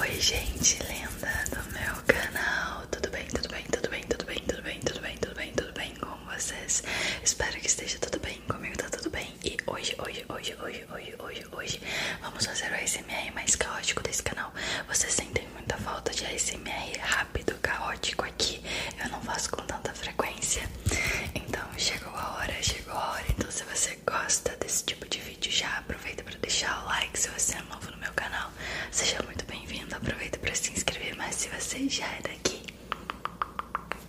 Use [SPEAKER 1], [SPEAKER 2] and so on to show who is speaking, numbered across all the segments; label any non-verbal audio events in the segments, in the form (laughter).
[SPEAKER 1] Oi gente linda do meu canal, tudo bem, tudo bem, tudo bem, tudo bem, tudo bem, tudo bem, tudo bem, tudo bem com vocês? Espero que esteja tudo bem, comigo tá tudo bem E hoje, hoje, hoje, hoje, hoje, hoje, hoje Vamos fazer o ASMR mais caótico desse canal Vocês sentem muita falta de ASMR rápido, caótico aqui Eu não faço com tanta frequência Então chegou a hora, chegou a hora Então se você gosta desse tipo de vídeo já aproveita para deixar o like se você é novo no meu canal. Seja muito bem-vindo. Aproveita para se inscrever, mas se você já é daqui,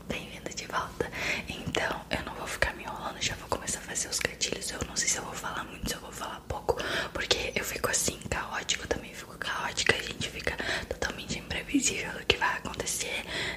[SPEAKER 1] bem-vindo de volta. Então, eu não vou ficar me enrolando, já vou começar a fazer os gatilhos. Eu não sei se eu vou falar muito, se eu vou falar pouco, porque eu fico assim caótico, eu também fico caótica, a gente fica totalmente imprevisível do que vai acontecer,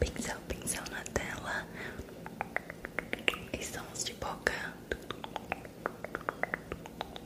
[SPEAKER 1] Pincel, pincel na tela. Estamos de boca.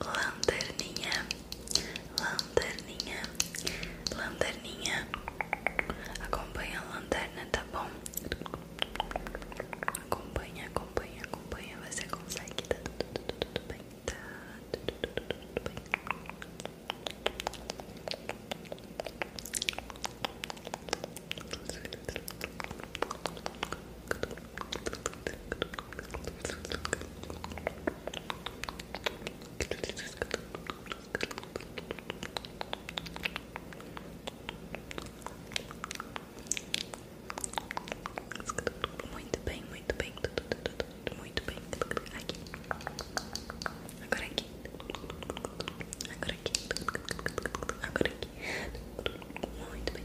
[SPEAKER 1] Lanterninha Lanterninha, lanterninha, acompanha a lanterna, tá bom? Acompanha, acompanha, acompanha, você consegue, tá tudo, tudo, tudo bem, tá tudo, tudo, tudo bem. Muito bem, muito bem, tudo, muito bem. Agora aqui. Agora aqui. Agora aqui. Muito bem.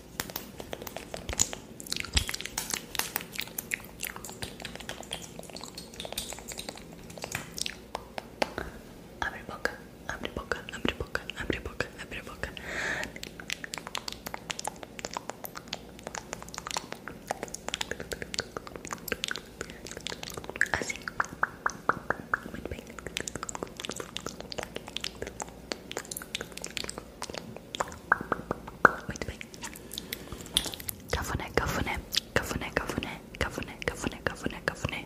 [SPEAKER 1] Abre boca, abre boca, abre boca, abre boca, abre boca. Assim. Muito bem. Wait, wait. Kafune, kafune, kafune, kafune, kafune, kafune,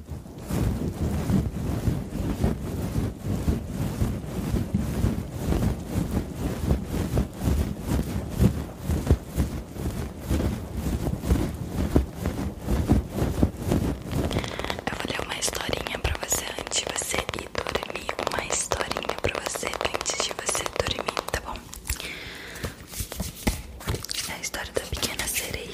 [SPEAKER 1] Eu vou ler uma historinha pra você antes de você ir dormir. Uma historinha pra você antes de você dormir, tá bom? É a história da pequena sereia.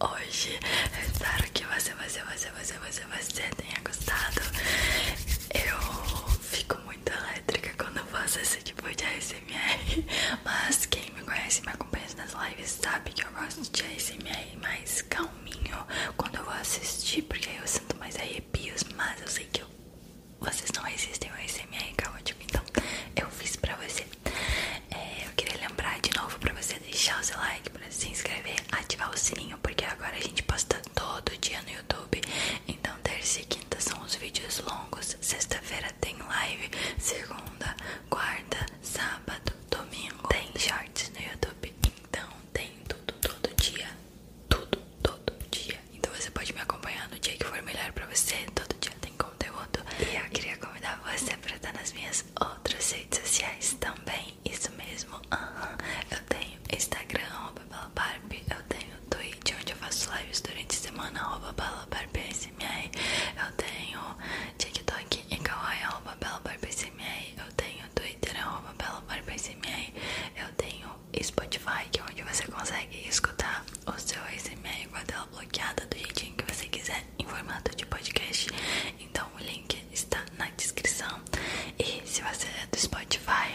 [SPEAKER 1] hoje. Eu espero que você, você, você, você, você, você tenha gostado. Eu fico muito elétrica quando eu faço esse tipo de SMR mas quem me conhece e me acompanha nas lives sabe que eu gosto de ASMR mais calminho quando eu vou assistir, porque aí eu sinto mais arrepios, mas eu sei que vocês não resistem ao ASMR caótico, então eu fiz pra você. É, eu queria lembrar de novo pra você deixar o seu like, pra se inscrever, ativar o sininho, porque agora a gente posta todo dia no YouTube. Então, terça e quinta são os vídeos longos, sexta-feira tem live, segunda, quarta, sábado, domingo tem shorts no YouTube. Então, tem tudo todo dia, tudo todo dia. Então, você pode me acompanhar no dia que for melhor pra você. Todo dia tem conteúdo. E eu queria eu convidar você para estar nas minhas outras redes sociais também. Isso mesmo, uhum. eu tenho Instagram, arroba balabarb, eu tenho Twitch, onde eu faço lives durante a semana, arroba balabarb.smr, eu tenho TikTok e kawaii, arroba balabarb.smr, eu tenho Twitter, arroba balabarb.smr, eu tenho Spotify, que é onde você consegue escutar o seu ASMR com a tela bloqueada do jeitinho que você quiser. Em formato de podcast. Então o link está na descrição. E se você é do Spotify,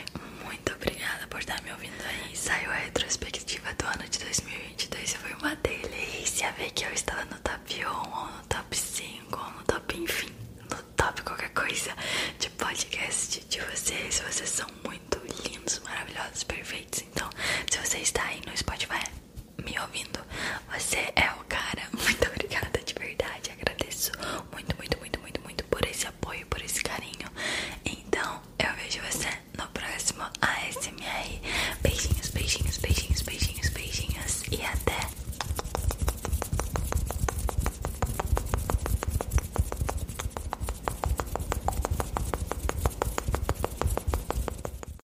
[SPEAKER 1] muito obrigada por estar me ouvindo aí. Saiu a retrospectiva do ano de 2022 e foi uma delícia ver que eu estava no top 1 ou no top 5 ou no top, enfim, no top qualquer coisa de podcast de vocês. Vocês são muito lindos, maravilhosos, perfeitos. Então, se você está aí no Spotify, me ouvindo. Você é o cara. (laughs) Muito obrigada, de verdade. Agradeço muito, muito, muito, muito, muito por esse apoio, por esse carinho. Então, eu vejo você no próximo ASMR. Beijinhos, beijinhos, beijinhos, beijinhos, beijinhos. E até.